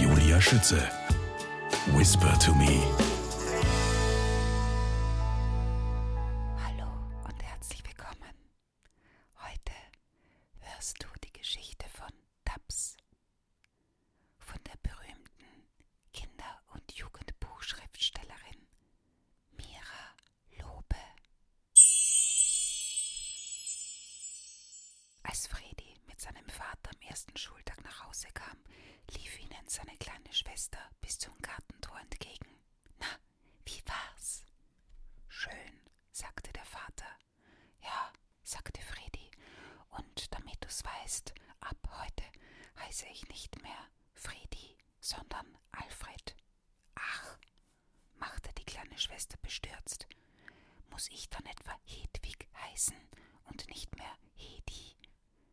Julia Schütze. Whisper to me. Hallo und herzlich willkommen. Heute hörst du die Geschichte von Taps, von der berühmten Kinder- und Jugendbuchschriftstellerin Mira Lobe. Als Fredi mit seinem Vater am ersten Schultag nach Hause kam, lief ihnen seine kleine Schwester bis zum Gartentor entgegen. Na, wie war's? Schön, sagte der Vater. Ja, sagte Fredi, und damit du's weißt, ab heute heiße ich nicht mehr Fredi, sondern Alfred. Ach, machte die kleine Schwester bestürzt. Muss ich dann etwa Hedwig heißen und nicht mehr Hedi?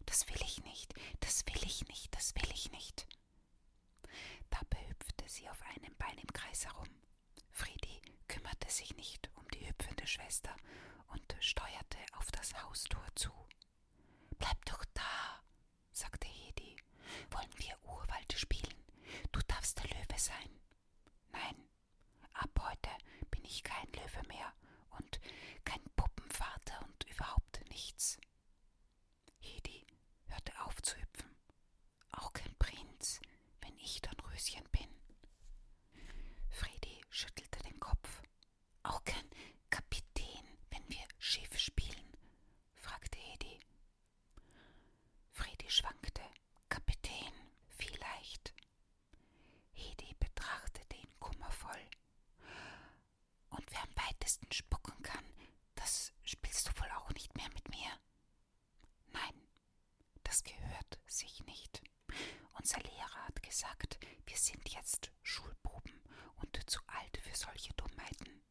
Das will ich nicht, das will ich nicht, das will ich nicht. Dabei hüpfte sie auf einem Bein im Kreis herum. Friedi kümmerte sich nicht um die hüpfende Schwester und steuerte auf das Haustor zu. Bleib doch da, sagte Hedi. Wollen wir Urwald spielen? Du darfst der Löwe sein. Nein, ab heute bin ich kein Löwe mehr und kein Puppenvater und überhaupt nichts. Hedi hörte auf zu hüpfen. Auch kein Prinz, wenn ich Don Röschen bin. Fredi schüttelte den Kopf. Auch kein Kapitän, wenn wir Schiff spielen? fragte Hedi Fredi schwankte. Kapitän, vielleicht. Hedi betrachtete ihn kummervoll. Und wer am weitesten spucken kann, das spielst du wohl auch nicht mehr mit mir. Nein, das gehört sich nicht. Unser Lehrer hat gesagt, wir sind jetzt Schulbuben und zu alt für solche Dummheiten.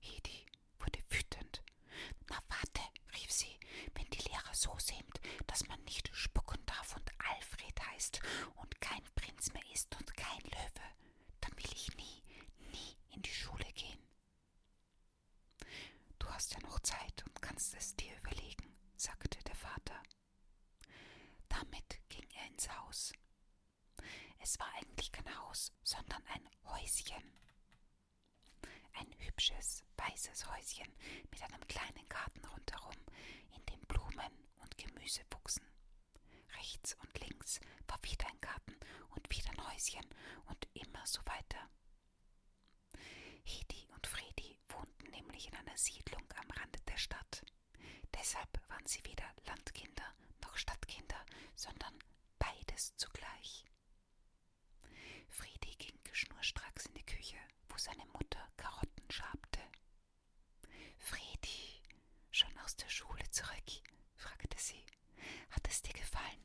Hedi wurde wütend. Na warte, rief sie, wenn die Lehrer so sind, dass man nicht spucken darf und Alfred heißt und kein Prinz mehr ist und kein Löwe, dann will ich nie, nie in die Schule gehen. Du hast ja noch Zeit und kannst es dir überlegen, sagte der Vater. Damit ging er ins Haus. Es war eigentlich kein Haus, sondern ein Häuschen. Ein hübsches, weißes Häuschen mit einem kleinen Garten rundherum, in dem Blumen und Gemüse wuchsen. Rechts und links war wieder ein Garten und wieder ein Häuschen und immer so weiter. Hedi und Fredi wohnten nämlich in einer Siedlung am Rande der Stadt. Deshalb waren sie weder Landkinder noch Stadtkinder, sondern beides zugleich. Friedi ging schnurstracks in die Küche, wo seine Mutter Karotten schabte. Friedi, schon aus der Schule zurück? fragte sie. Hat es dir gefallen?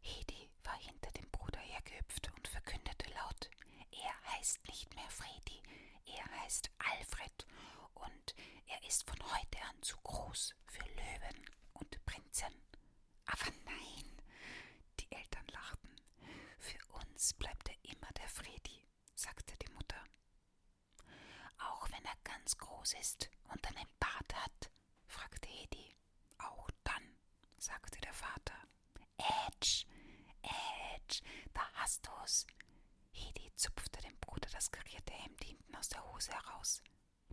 Hedi war hinter dem Bruder hergehüpft und verkündete laut: Er heißt nicht mehr Friedi, er heißt Alfred und er ist von heute an zu groß. Haus für Löwen und Prinzen. Aber nein, die Eltern lachten. Für uns bleibt er immer der Fredi, sagte die Mutter. Auch wenn er ganz groß ist und einen Bart hat, fragte Hedi. Auch dann, sagte der Vater. Edge, Edge, da hast du's. Hedi zupfte dem Bruder das karierte Hemd hinten aus der Hose heraus.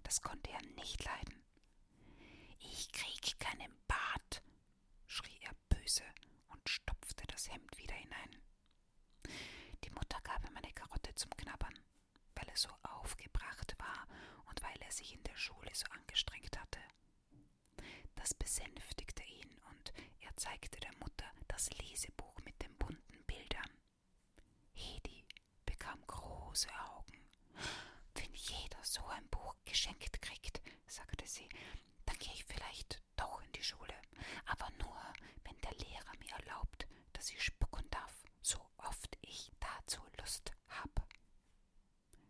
Das konnte er nicht leiden. Ich krieg keinen Bart, schrie er böse und stopfte das Hemd wieder hinein. Die Mutter gab ihm eine Karotte zum Knabbern, weil er so aufgebracht war und weil er sich in der Schule so angestrengt hatte. Das besänftigte ihn und er zeigte der Mutter das Lesebuch mit den bunten Bildern. Hedi bekam große Augen. Wenn jeder so ein Buch geschenkt kriegt, sagte sie, dann gehe ich vielleicht doch in die Schule, aber nur, wenn der Lehrer mir erlaubt, dass ich spucken darf, so oft ich dazu Lust hab.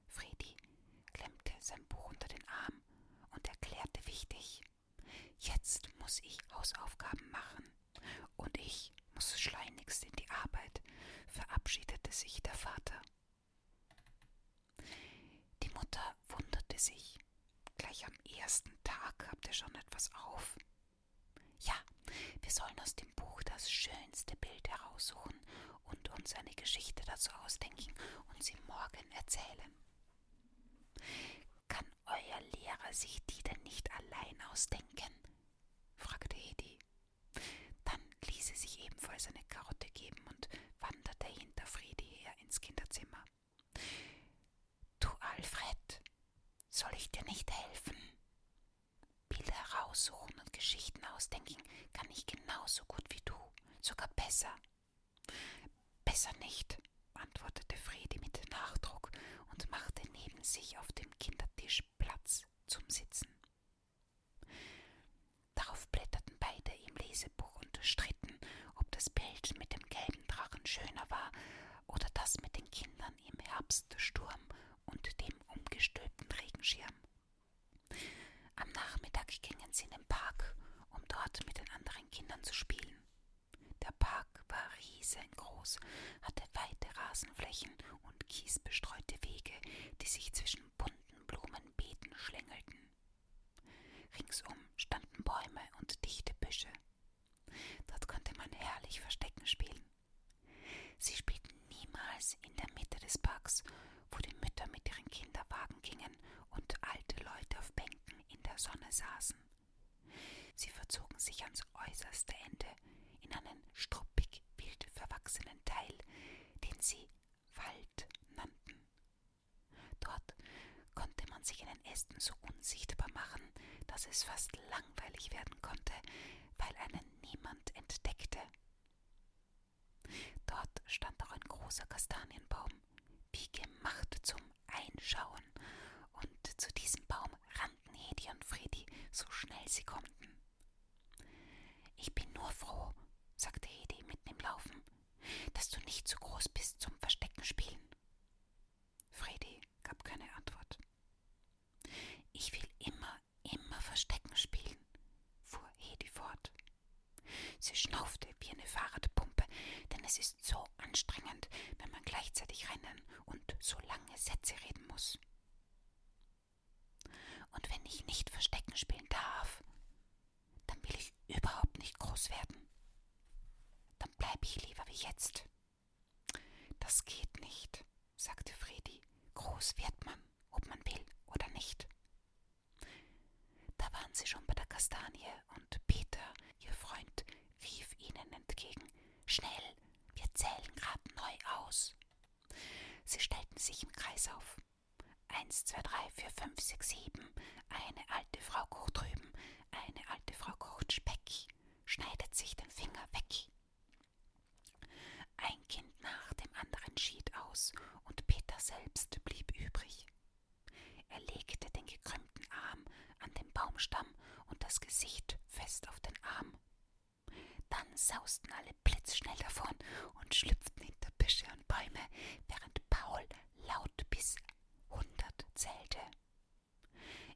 Fredi klemmte sein Buch unter den Arm und erklärte wichtig Jetzt muss ich Hausaufgaben machen. Und ich muss schleunigst in die Arbeit, verabschiedete sich der Vater. Die Mutter wunderte sich. Gleich am ersten Tag habt ihr schon etwas auf. Ja, wir sollen aus dem Buch das schönste Bild heraussuchen und uns eine Geschichte dazu ausdenken und sie morgen erzählen. Kann kann euer Lehrer sich die denn nicht allein ausdenken? fragte Hedi. Dann ließ sie sich ebenfalls eine Karotte geben und wanderte hinter Friedi her ins Kinderzimmer. Du Alfred, soll ich dir nicht helfen? Bilder heraussuchen und Geschichten ausdenken kann ich genauso gut wie du, sogar besser. Besser nicht, antwortete Fredi mit Nachdruck und machte neben sich auf dem Kindertisch Platz zum Sitzen. Darauf blätterten beide im Lesebuch und stritten, ob das Bild mit dem gelben Drachen schöner war oder das mit den Kindern im Herbststurm und dem umgestülpten Regenschirm. Am Nachmittag gingen sie in den Park, um dort mit den anderen Kindern zu spielen. Der Park war riesengroß, hatte weite Rasenflächen und kiesbestreute Wege, die sich zwischen bunten Blumenbeeten schlängelten. Ringsum standen Bäume und dichte Büsche. Dort konnte man herrlich Verstecken spielen. Sie spielten niemals in der Mitte des Parks, wo die Mütter mit ihren Kinderwagen gingen und alte Leute auf Bänken in der Sonne saßen. Sie verzogen sich ans äußerste Ende in einen struppig wild verwachsenen Teil, den sie Wald nannten. Dort konnte man sich in den Ästen so unsichtbar machen, dass es fast langweilig werden konnte, weil einen niemand entdeckte. Dort stand auch ein großer Kastanienbaum, wie gemacht zum einschauen, und zu diesem Baum rannten Hedi und Fredi so schnell sie konnten. Ich bin nur froh, sagte Hedi mitten im Laufen, dass du nicht zu groß bist zum Verstecken spielen. Fredi gab keine Antwort. Ich will immer, immer Verstecken spielen, fuhr Hedi fort. Sie schnaufte wie eine Fahrradpumpe, denn es ist so auch anstrengend, wenn man gleichzeitig rennen und so lange Sätze reden muss. Und wenn ich nicht Verstecken spielen darf, dann will ich überhaupt nicht groß werden. Dann bleibe ich lieber wie jetzt. Das geht nicht, sagte Fredi. Groß wird man, ob man will oder nicht. Da waren sie schon bei der Kastanie und Peter, ihr Freund, rief ihnen entgegen Schnell, wir zählen grad neu aus. Sie stellten sich im Kreis auf. Eins, zwei, drei, vier, fünf, sechs, sieben. Eine alte Frau kocht drüben, eine alte Frau kocht Speck, schneidet sich den Finger weg. Ein Kind nach dem anderen schied aus, und Peter selbst blieb übrig. Er legte den gekrümmten Arm an den Baumstamm und das Gesicht fest auf den Arm. Dann sausten alle blitzschnell davon und schlüpften hinter Büsche und Bäume, während Paul laut bis hundert zählte.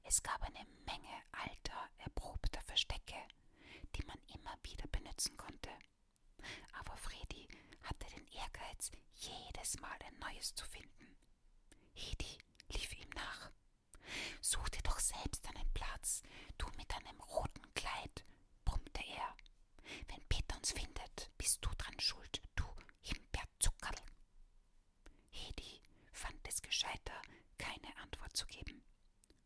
Es gab eine Menge alter, erprobter Verstecke, die man immer wieder benutzen konnte. Aber Fredi hatte den Ehrgeiz, jedes Mal ein neues zu finden, Hedi lief ihm nach. Such dir doch selbst einen Platz, du mit deinem roten Kleid, brummte er. Wenn Peter uns findet, bist du dran schuld, du Himbeerzuckerl. Hedi fand es gescheiter, keine Antwort zu geben.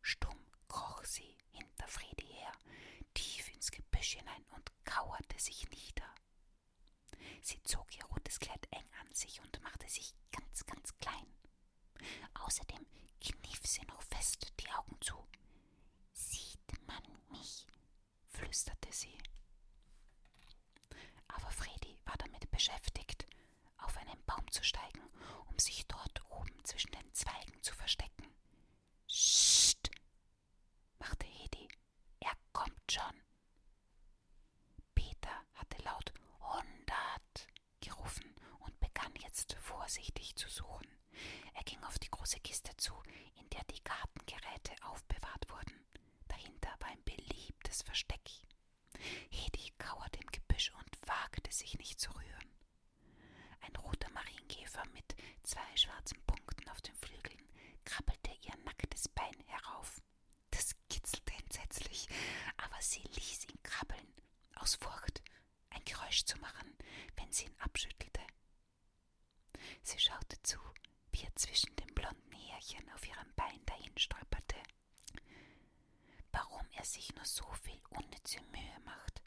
Stumm kroch sie hinter Fredi her, tief ins Gebüsch hinein und kauerte sich nieder. Sie zog ihr rotes Kleid eng an sich und machte sich ganz, ganz klein. Außerdem kniff sie noch fest die Augen zu. Sieht man mich? flüsterte sie. Aber Fredi war damit beschäftigt, auf einen Baum zu steigen, um sich dort oben zwischen den Zweigen zu verstecken. Scht! machte Hedi. Er kommt schon. Peter hatte laut hundert gerufen und begann jetzt vorsichtig zu suchen. Er ging auf die große Kiste zu, in der die Gartengeräte aufbewahrt wurden. Dahinter war ein beliebtes Versteck. Hedi kauerte im Gebüsch und wagte sich nicht zu rühren. Ein roter Marienkäfer mit zwei schwarzen Punkten auf dem Flügel Stein krabbelte ihr nacktes Bein herauf. Das kitzelte entsetzlich, aber sie ließ ihn krabbeln, aus Furcht, ein Geräusch zu machen, wenn sie ihn abschüttelte. Sie schaute zu, wie er zwischen den blonden Härchen auf ihrem Bein dahinstolperte. Warum er sich nur so viel unnütze Mühe macht,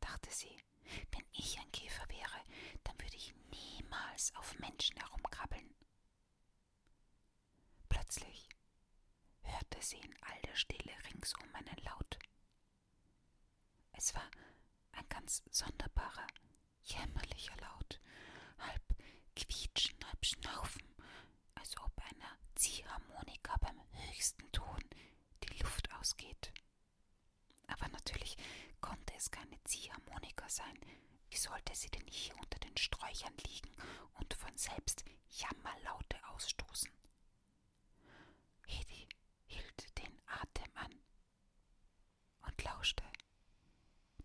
dachte sie. Wenn ich ein Käfer wäre, dann würde ich niemals auf Menschen herumkrabbeln. Plötzlich hörte sie in all der Stille ringsum einen Laut. Es war ein ganz sonderbarer, jämmerlicher Laut, halb quietschen, halb schnaufen, als ob einer Ziehharmonika beim höchsten Ton die Luft ausgeht. Aber natürlich konnte es keine Ziehharmonika sein. Wie sollte sie denn hier unter den Sträuchern liegen und von selbst Jammerlaute ausstoßen? Hedi hielt den Atem an und lauschte.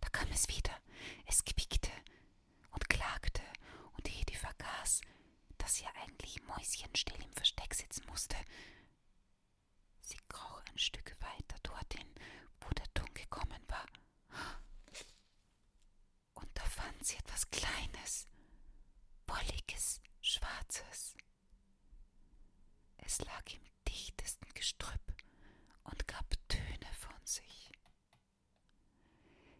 Da kam es wieder. Es quiekte und klagte, und Hedi vergaß, dass ja eigentlich Mäuschen still im Versteck sitzen musste. Sie kroch ein Stück weiter dorthin, wo der Ton gekommen war. Und da fand sie etwas Kleines, wolliges, schwarzes. Es lag im dichtesten Gestrüpp und gab Töne von sich.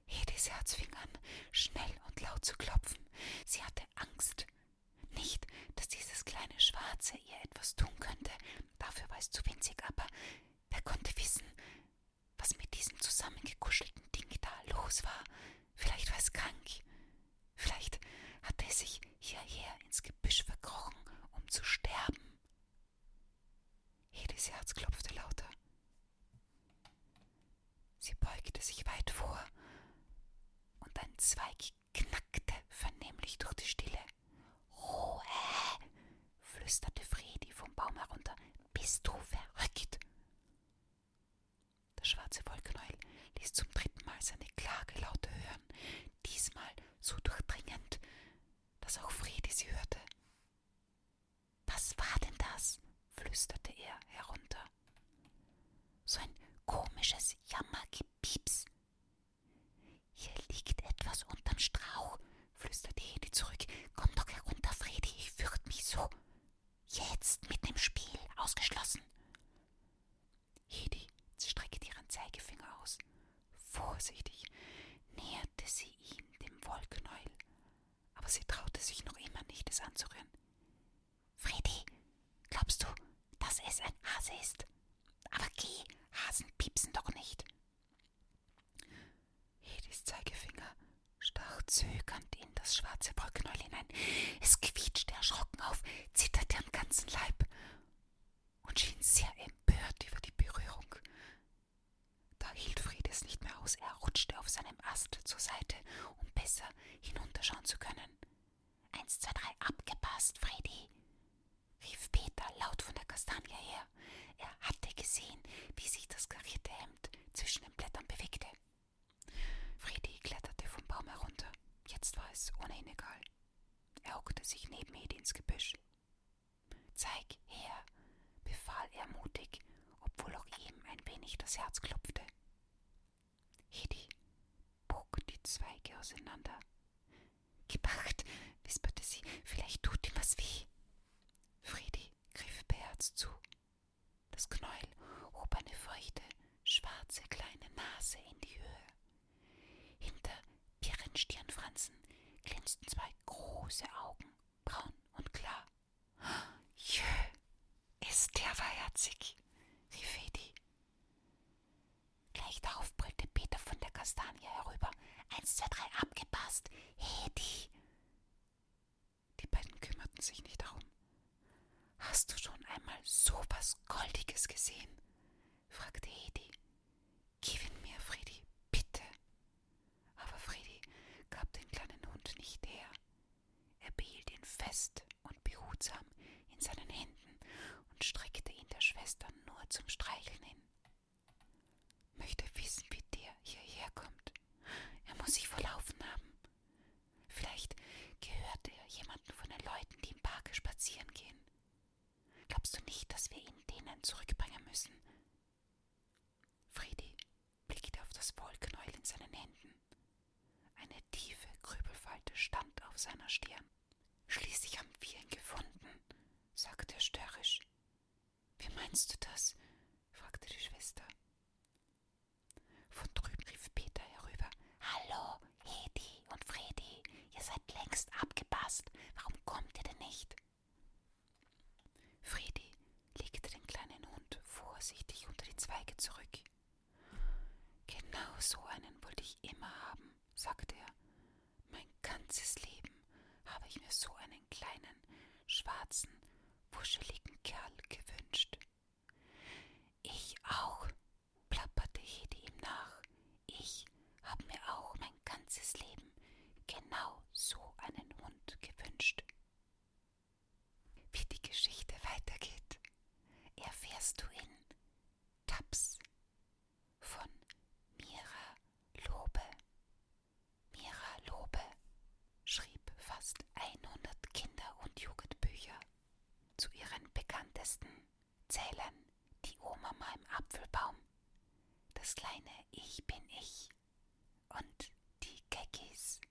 Hedis Herz fing an, schnell und laut zu klopfen. Sie hatte Angst, nicht, dass dieses kleine Schwarze ihr etwas tun könnte, dafür war es zu winzig, aber wer konnte wissen, was mit diesem zusammengekuschelten Ding da los war? Vielleicht war es krank. Vielleicht hatte es sich hierher ins Gebüsch verkrochen, um zu sterben. Hedis Herz klopfte lauter. Sie beugte sich weit vor, und ein Zweig knackte vernehmlich durch die Stille. Ruhe, flüsterte Fredi vom Baum herunter. Bist du verrückt? Der schwarze Wollknäuel ließ zum dritten Mal seine Klage laut hören, diesmal so durchdringend, dass auch Fredi sie hörte. Was war denn das? flüsterte er herunter. So ein komisches Jammergepieps. Hier liegt etwas unterm Strauch, flüsterte Hedi zurück. Komm doch herunter, Fredi, ich fürcht mich so. Jetzt mit dem Spiel ausgeschlossen. Hedi streckte ihren Zeigefinger aus. Vorsichtig näherte sie ihm dem Wollknäuel, aber sie traute sich noch immer nicht, es anzurühren. Freddy, glaubst du, dass es ein Hase ist? Aber geh, Hasen piepsen doch nicht. Hedis Zeigefinger stach zögernd in das schwarze Brückenöl hinein. Es quietschte erschrocken auf, zitterte am ganzen Leib und schien sehr empört über die Berührung. Da hielt Fried es nicht mehr aus, er rutschte auf seinem Ast zur Seite, um besser hinunterschauen zu können. Eins, zwei, drei, abgepasst, Freddy, rief Peter laut von der Kastanie her. Er hatte gesehen, wie sich das karierte Hemd zwischen den Blättern bewegte. Freddy kletterte vom Baum herunter. Jetzt war es ohnehin egal. Er hockte sich neben Edi ins Gebüsch. Zeig her, befahl er mutig, obwohl auch ihm ein wenig das Herz klopfte. Hedi bog die Zweige auseinander. Gepacht, wisperte sie, vielleicht tut ihm was weh. Fredi griff beherzt zu. Das Knäuel hob eine feuchte, schwarze kleine Nase in die Höhe. Hinter ihren Stirnfransen glänzten zwei große Augen, braun und klar. Jö, ist der wahrherzig, rief Edi Gleich darauf brüllte Peter von der Kastanie herüber. Eins, zwei, drei, abgepasst! Hedi! Die beiden kümmerten sich nicht darum. Hast du schon einmal so was Goldiges gesehen? fragte Hedi. Gib ihn mir, Friedi, bitte. Aber Friedi gab den kleinen Hund nicht her. Er behielt ihn fest und behutsam in seinen Händen und streckte ihn der Schwester nur zum Streicheln hin. Möchte wissen, wie der hierher kommt. Er muss sich verlaufen haben. Vielleicht gehört er jemanden von den Leuten, die im Parke spazieren gehen. Glaubst du nicht, dass wir ihn denen zurückbringen müssen? Friedi blickte auf das Wollknäuel in seinen Händen. Eine tiefe Grübelfalte stand auf seiner Stirn. Schließlich haben wir ihn gefunden, sagte er störrisch. Wie meinst du das? fragte die Schwester. Von drüben rief Peter herüber. Hallo, Hedi und Fredi, ihr seid längst abgepasst. Warum kommt ihr denn nicht? Fredi legte den kleinen Hund vorsichtig unter die Zweige zurück. Genau so einen wollte ich immer haben, sagte er. Mein ganzes Leben habe ich mir so einen kleinen, schwarzen, wuscheligen Kerl gewünscht. Ich auch, plapperte Hedi ihm nach. Ich habe mir auch mein ganzes Leben genau so einen Hund gewünscht. Wie die Geschichte weitergeht, erfährst du in Taps von Mira Lobe. Mira Lobe schrieb fast 100 Kinder- und Jugendbücher. Zu ihren bekanntesten zählen Die Oma im Apfelbaum, Das kleine Ich bin ich und die Geckis.